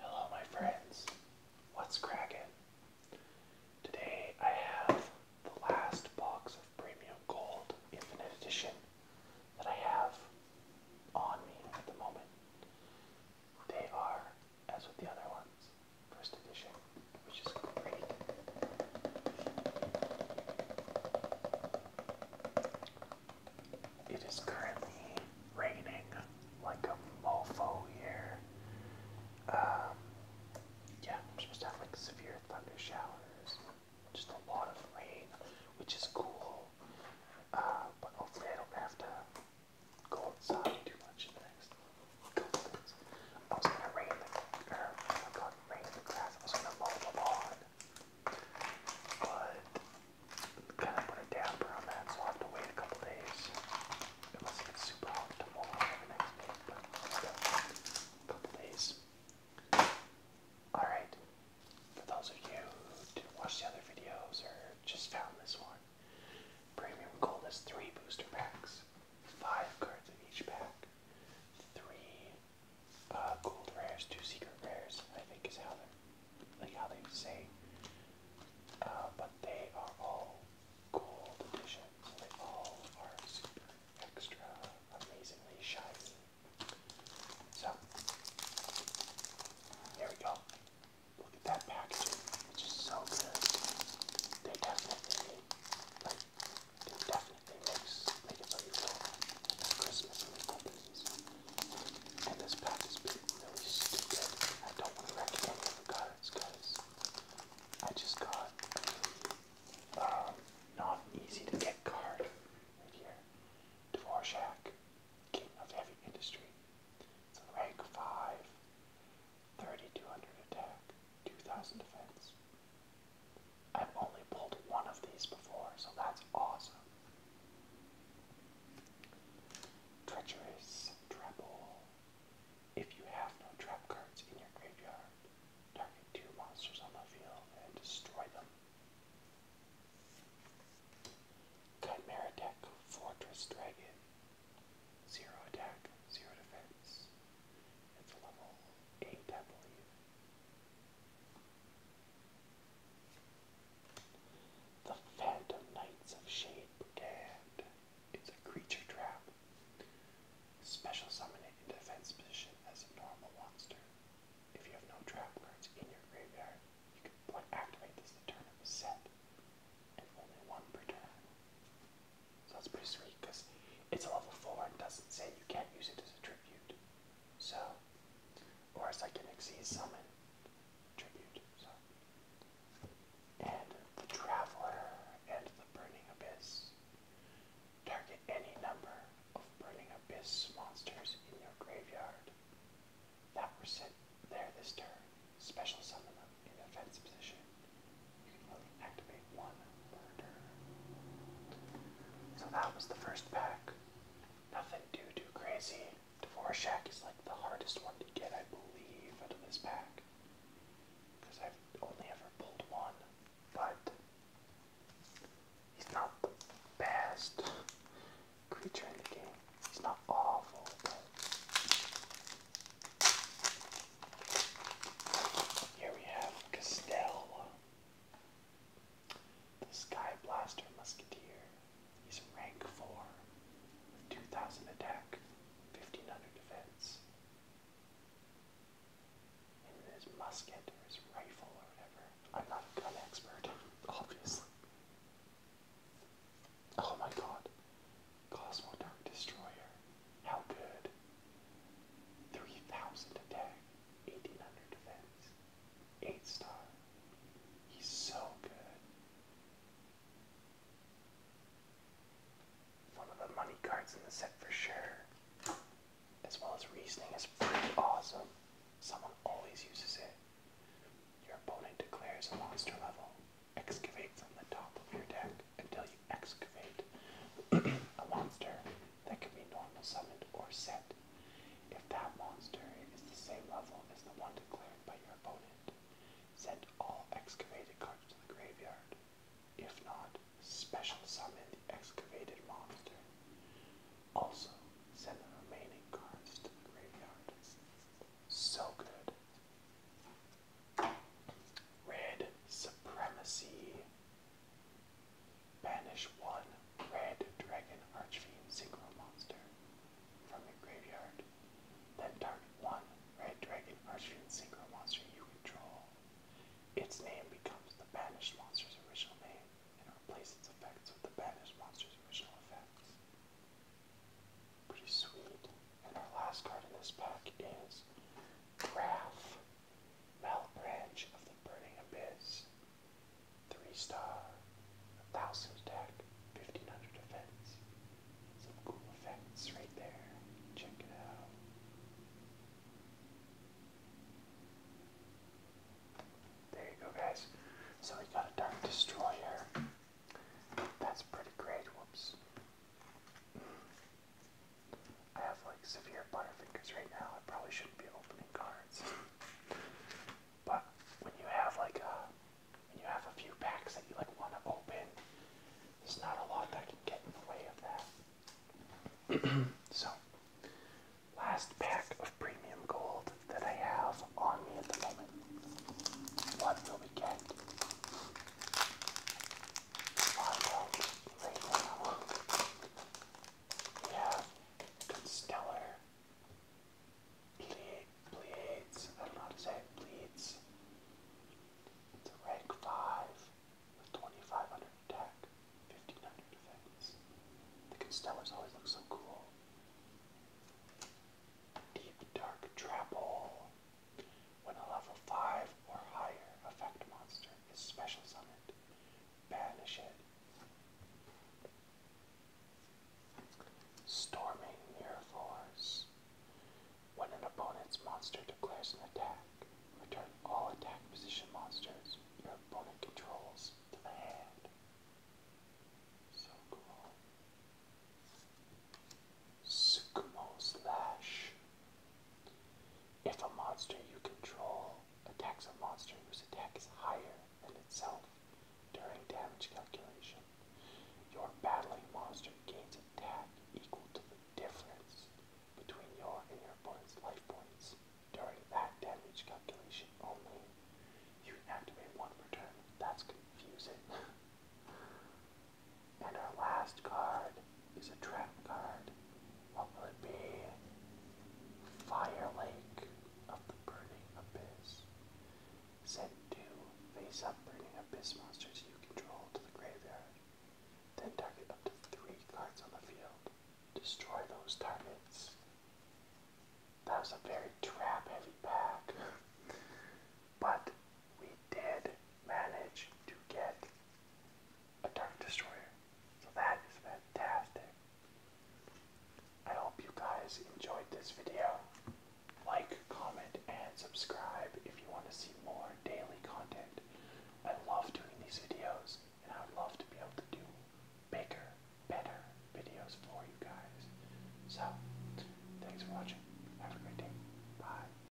Hello, my friends. What's cracking? Today I have the last box of Premium Gold Infinite Edition that I have on me at the moment. They are, as with the other ones, first edition, which is great. It is currently raining like a mofo here. Um, yeah, supposed to have like severe thunder showers, just a lot of rain, which is cool. Uh, but hopefully I don't have to go outside too much next couple days. I was gonna rain the, er, grass. I was gonna mow the lawn but kind of put a damper on that, so i have to wait a couple days. Unless it super hot couple days. Alright, for those of you who did watch the other videos or just found this one, Premium Gold has three booster packs, five cards in each pack, three uh, gold rares, two secret rares, I think is how they're like how they say, uh, but they are all gold editions. They all are super extra amazingly shiny. So here we go. Look at that packaging. It's just so good. They definitely like it definitely makes make it so you feel like Christmas and this pack is being really stupid. I don't want to wreck any cards, guys. I just got um, not easy to get card right here. Dvorak, King of Heavy Industry. It's a rank 5, 3200 attack, 2000 defense. I've only pulled one of these before, so that's awesome. Treacherous Treble. If you have no trap cards in your graveyard, target two monsters on the field and destroy them. Chimera Deck Fortress Dragon. Zero attack, zero defense. It's level 8, the Phantom Knights of Shade Brigade. It's a creature trap. Special summon it into defense position as a normal monster. If you have no trap cards in your graveyard, you can activate this the turn it was set, only one per turn. So that's pretty sweet because it's a level 4 and doesn't say you can't use it as a tribute. So or I can Xyz summon tribute. And the Traveler and the Burning Abyss. Target any number of Burning Abyss monsters in your graveyard that were sent there this turn. Special summon them in defense position. You can only activate one per So that was the first pack. Nothing too, too crazy. Dvorak is like the hardest one to get, I believe, out of this pack. Because I've only ever pulled one, but he's not the best creature in the game. He's not awful, Here we have Costello. The Sky Blaster Musketeer. He's rank 4 with 2000 attack, 1500 defense. And his musket or his rifle or whatever. I'm not a gun expert, obviously. Oh my god. Cosmo Destroyer. How good. 3000 attack, 1800 defense, 8 star. He's so good. One of the money cards in the set for sure. As well as reasoning is pretty awesome. Someone always uses it. Your opponent declares a monster level. Excavate from the top of your deck until you excavate a monster that can be normal summon or set if that monster is the same level as the one declared by your opponent. Send all excavated cards to the graveyard. If not, special summon the excavated monster. Also, send the remaining cards to the graveyard. So good. Red Supremacy. Banish one red dragon archfiend synchro monster from your graveyard. Then target one red dragon archfiend synchro monster you control. Its name becomes the banished monster's original name and replaces its effects with the banished monster's original effects. Pretty sweet. And our last card in this pack is Graph. Mouth branch of the burning abyss. Three star, a thousand attack, fifteen hundred defense. Some cool effects right there. Check it out. There you go, guys. So we got a Dark Destroyer. That's pretty great. Whoops. I have like severe butterfingers right now. I probably shouldn't be opening cards. but when you have like a, uh, when you have a few packs that you like want to open, there's not a lot that can get in the way of that. so, last pack of premium gold that I have on me at the moment. What will we get? right now. We Constellar Bleeds. I don't know to say Bleeds. It's a rank 5 with 2500 attack, 1500 defense. The Constellars always look so cool. Deep Dark Trapple. When a level 5 or higher effect monster his special summit. Banish it. Storming Mirror Force. When an opponent's monster declares an attack, return all attack position monsters your opponent controls to the hand. So cool. Sukumo Slash. If a monster you control attacks a monster whose attack is higher than itself during damage calculation, your battling monster gains attack equal to the difference between your and your opponent's life points. During that damage calculation only, you activate one per That's confusing. And our last card is a trap card. What will it be? Fire Lake of the Burning Abyss. Send two face up Burning Abyss monsters you control to the graveyard. Then target up to three cards on the field. Destroy those targets. That was a very trap heavy pack. but we did manage to get a Dark Destroyer. So that is fantastic. I hope you guys enjoyed this video. Like, comment, and subscribe if you want to see more daily content. I love doing these videos, and I would love to be able to do bigger, better videos for you guys. So, thanks for watching. Have a great day. Bye.